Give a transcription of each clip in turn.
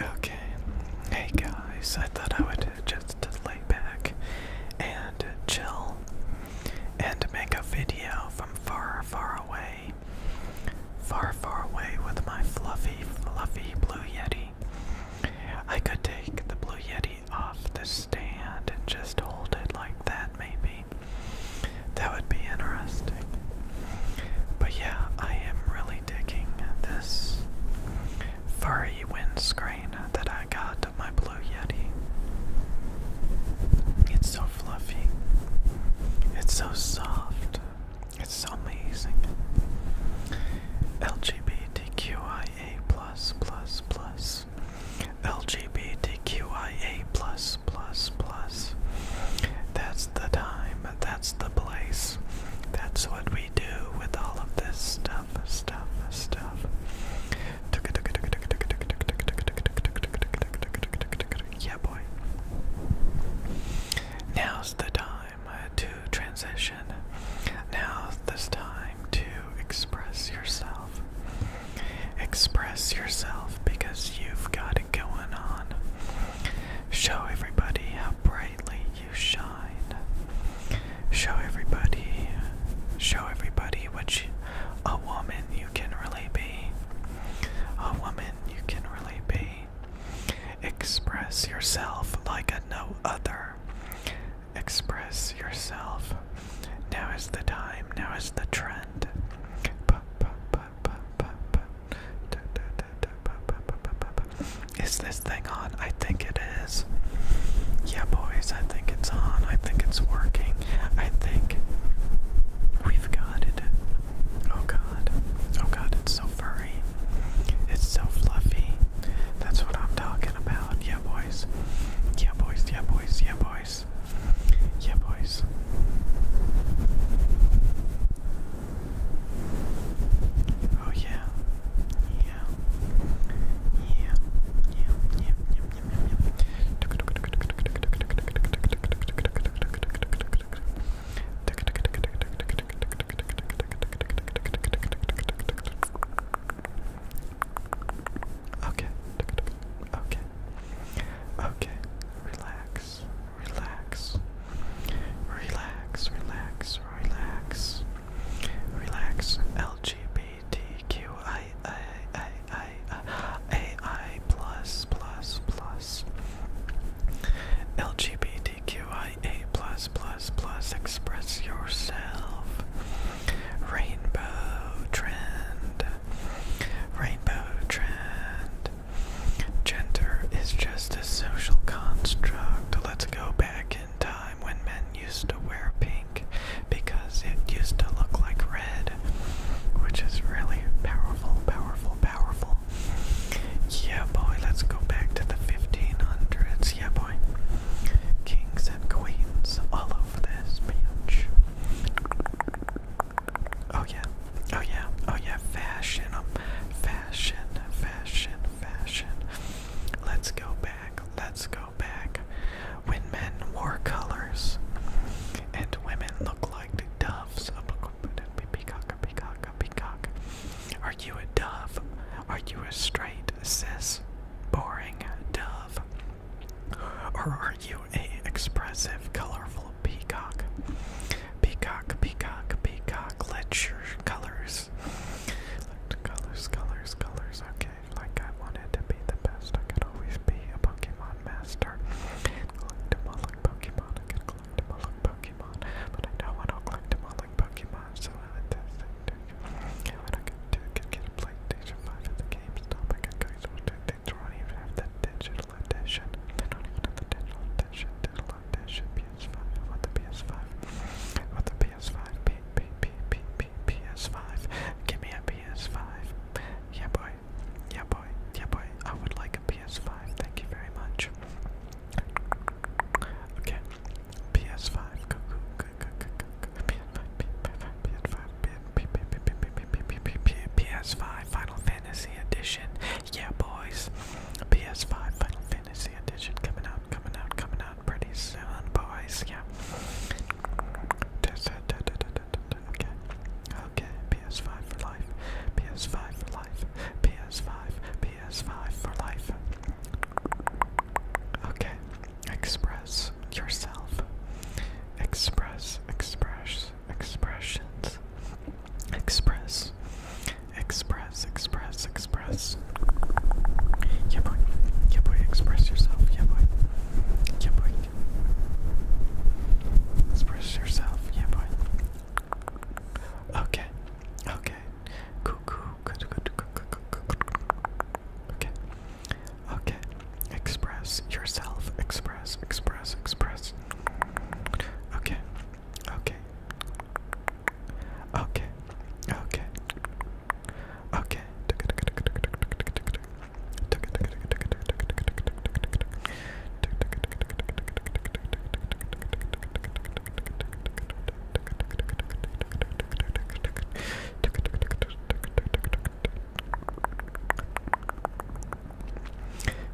Okay, hey guys, I thought I would just lay back and chill and make a video from far, far away. Far, far away with my fluffy, fluffy Blue Yeti. I could take the Blue Yeti off the stand and just hold it like that, maybe. That would be interesting. But yeah, I am really really this furry windscreen that I got of my Blue Yeti. It's so fluffy, it's so soft, it's amazing. LGBTQIA plus plus plus LGBTQIA plus plus plus. That's the time that's the place. That's what we do with all of this stuff, stuff, stuff. Yeah, boy. Now's the time uh, to transition. Now's the time to express yourself. Express yourself because you've got it going on. Show everybody how brightly you shine. Show everybody, show everybody what a woman you can really be. A woman you can really be. Express yourself like no other. Express yourself. Now is the time, now is the trend. Is this thing on? I think it is. Yeah, boys, I think it's on. I think it's working. I think we've got it. Oh god. Oh god, it's so furry. It's so fluffy. That's what I'm talking about. Yeah, boys. Yeah, boys. Yeah, boys. Yeah, boys. Yeah, boys. Oh yeah. Yeah. Yeah. Yeah. Yeah. Yeah. Yeah. yeah. Okay. Okay. Okay. Relax relax, relax, relax, relax, relax. LGBTQIAI plus plus plus. LGBTQIA plus plus plus. Express yourself. Rainbow trend. Rainbow trend. Gender is just a social construct. Let's go back in time when men used to wear pink because it used to look like red, which is really powerful, powerful, powerful. Yeah, boy, let's go back to the 1500s. Yeah, boy. Kings and queens all over this bitch. Oh yeah, oh yeah, oh yeah, fashion, um, fashion, fashion, fashion. Let's go back, let's go back. When men wore colors and women looked like the doves. Peacock, peacock, peacock. Are you a dove? Are you a straight, cis, boring dove? Or are you a expressive, colorful peacock. Peacock, peacock, peacock. Let your colors. Let colors, colors, colors. Okay, like I wanted to be the best. I could always be a Pokemon master. collect them all like Pokemon. I could collect them like Pokemon. But I don't want to collect them all like Pokemon. So I let this thing do. I could, do, could get a PlayStation 5 at the GameStop. I could go to the things not even have the digital edition. don't even have the digital edition. Digital edition PS5. I the PS5. I the PS5. P P P P P PS5. Give me a PS5. Yeah boy. Yeah boy. Yeah boy. I would like a PS5. Thank you very much. Okay. PS5. Go go go go go go. PS5. PS5. PS5. PS5 Final Fantasy Edition. Yeah, boys. PS5 Final Fantasy Edition coming out, coming out, coming out pretty soon, boys. Yeah. Okay. Okay. PS5 for life. PS5 for life. PS5. PS5 for life. Okay. Express yourself. Express. Express express, expressions, express, express, express, express. Yeah, boy. Yeah, boy. Express yourself. Yeah, boy. Yeah, boy. Express yourself. Yeah, boy. Okay. Okay. Cuckoo. Okay. Okay. Express yourself. Express, express, express. Okay. Okay. Okay. Okay. Okay.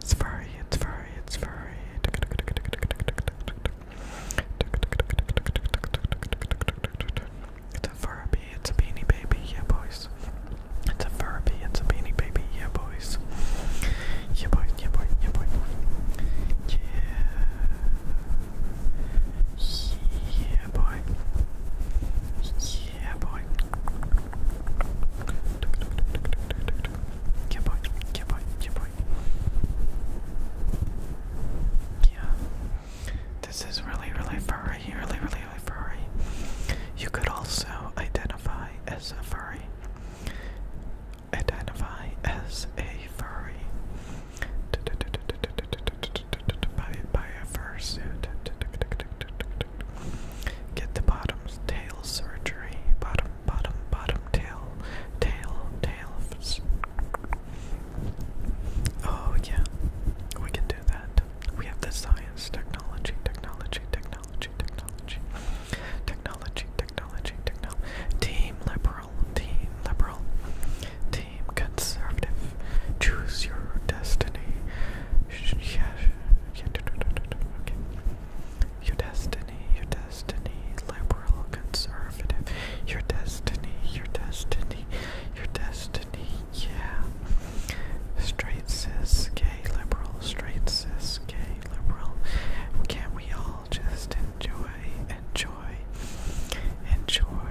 It's furry, it's furry, it's furry. It's a Furby, it's a beanie baby, yeah boys. It's a Furby, it's a beanie baby, yeah boys. Yeah boy, yeah boy, yeah boy. Yeah. Yeah boy. Yeah boy. Yeah, This is really, really furry. Really, really, furry. You could also identify as a furry. Identify as a furry. By, by a fursuit. Get the bottom's tail surgery. Bottom, bottom, bottom tail, tail, tail. Oh yeah, we can do that. We have the science, technology, technology, technology, technology, technology, technology, technology. Team liberal, team liberal, team conservative. Choose your destiny. Yeah. Your destiny, your destiny, liberal, conservative. Your destiny, your destiny, your destiny. Yeah. Straight cis, gay, liberal. Straight cis, gay, liberal. Can we all just enjoy, enjoy, enjoy?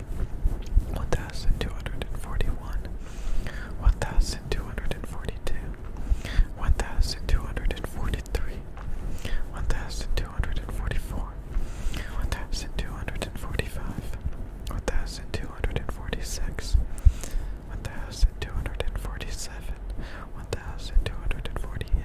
one thousand two hundred and forty one, one thousand two hundred and forty two, one thousand two hundred and forty three, one thousand two hundred and forty four, one thousand two hundred and forty five, one thousand two hundred and forty six, one thousand two hundred and forty One thousand two hundred and forty-eight.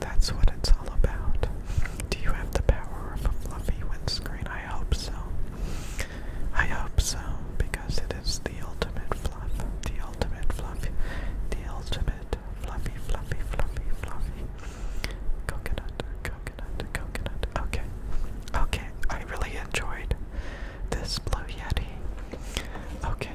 That's what it's all about. Do you have the power of a fluffy windscreen? I hope so. I hope so, because it is the ultimate fluff. The ultimate fluff. The ultimate fluffy, fluffy, fluffy, fluffy. Coconut, coconut, coconut. Okay. Okay, I really enjoyed this Blue Yeti. Okay.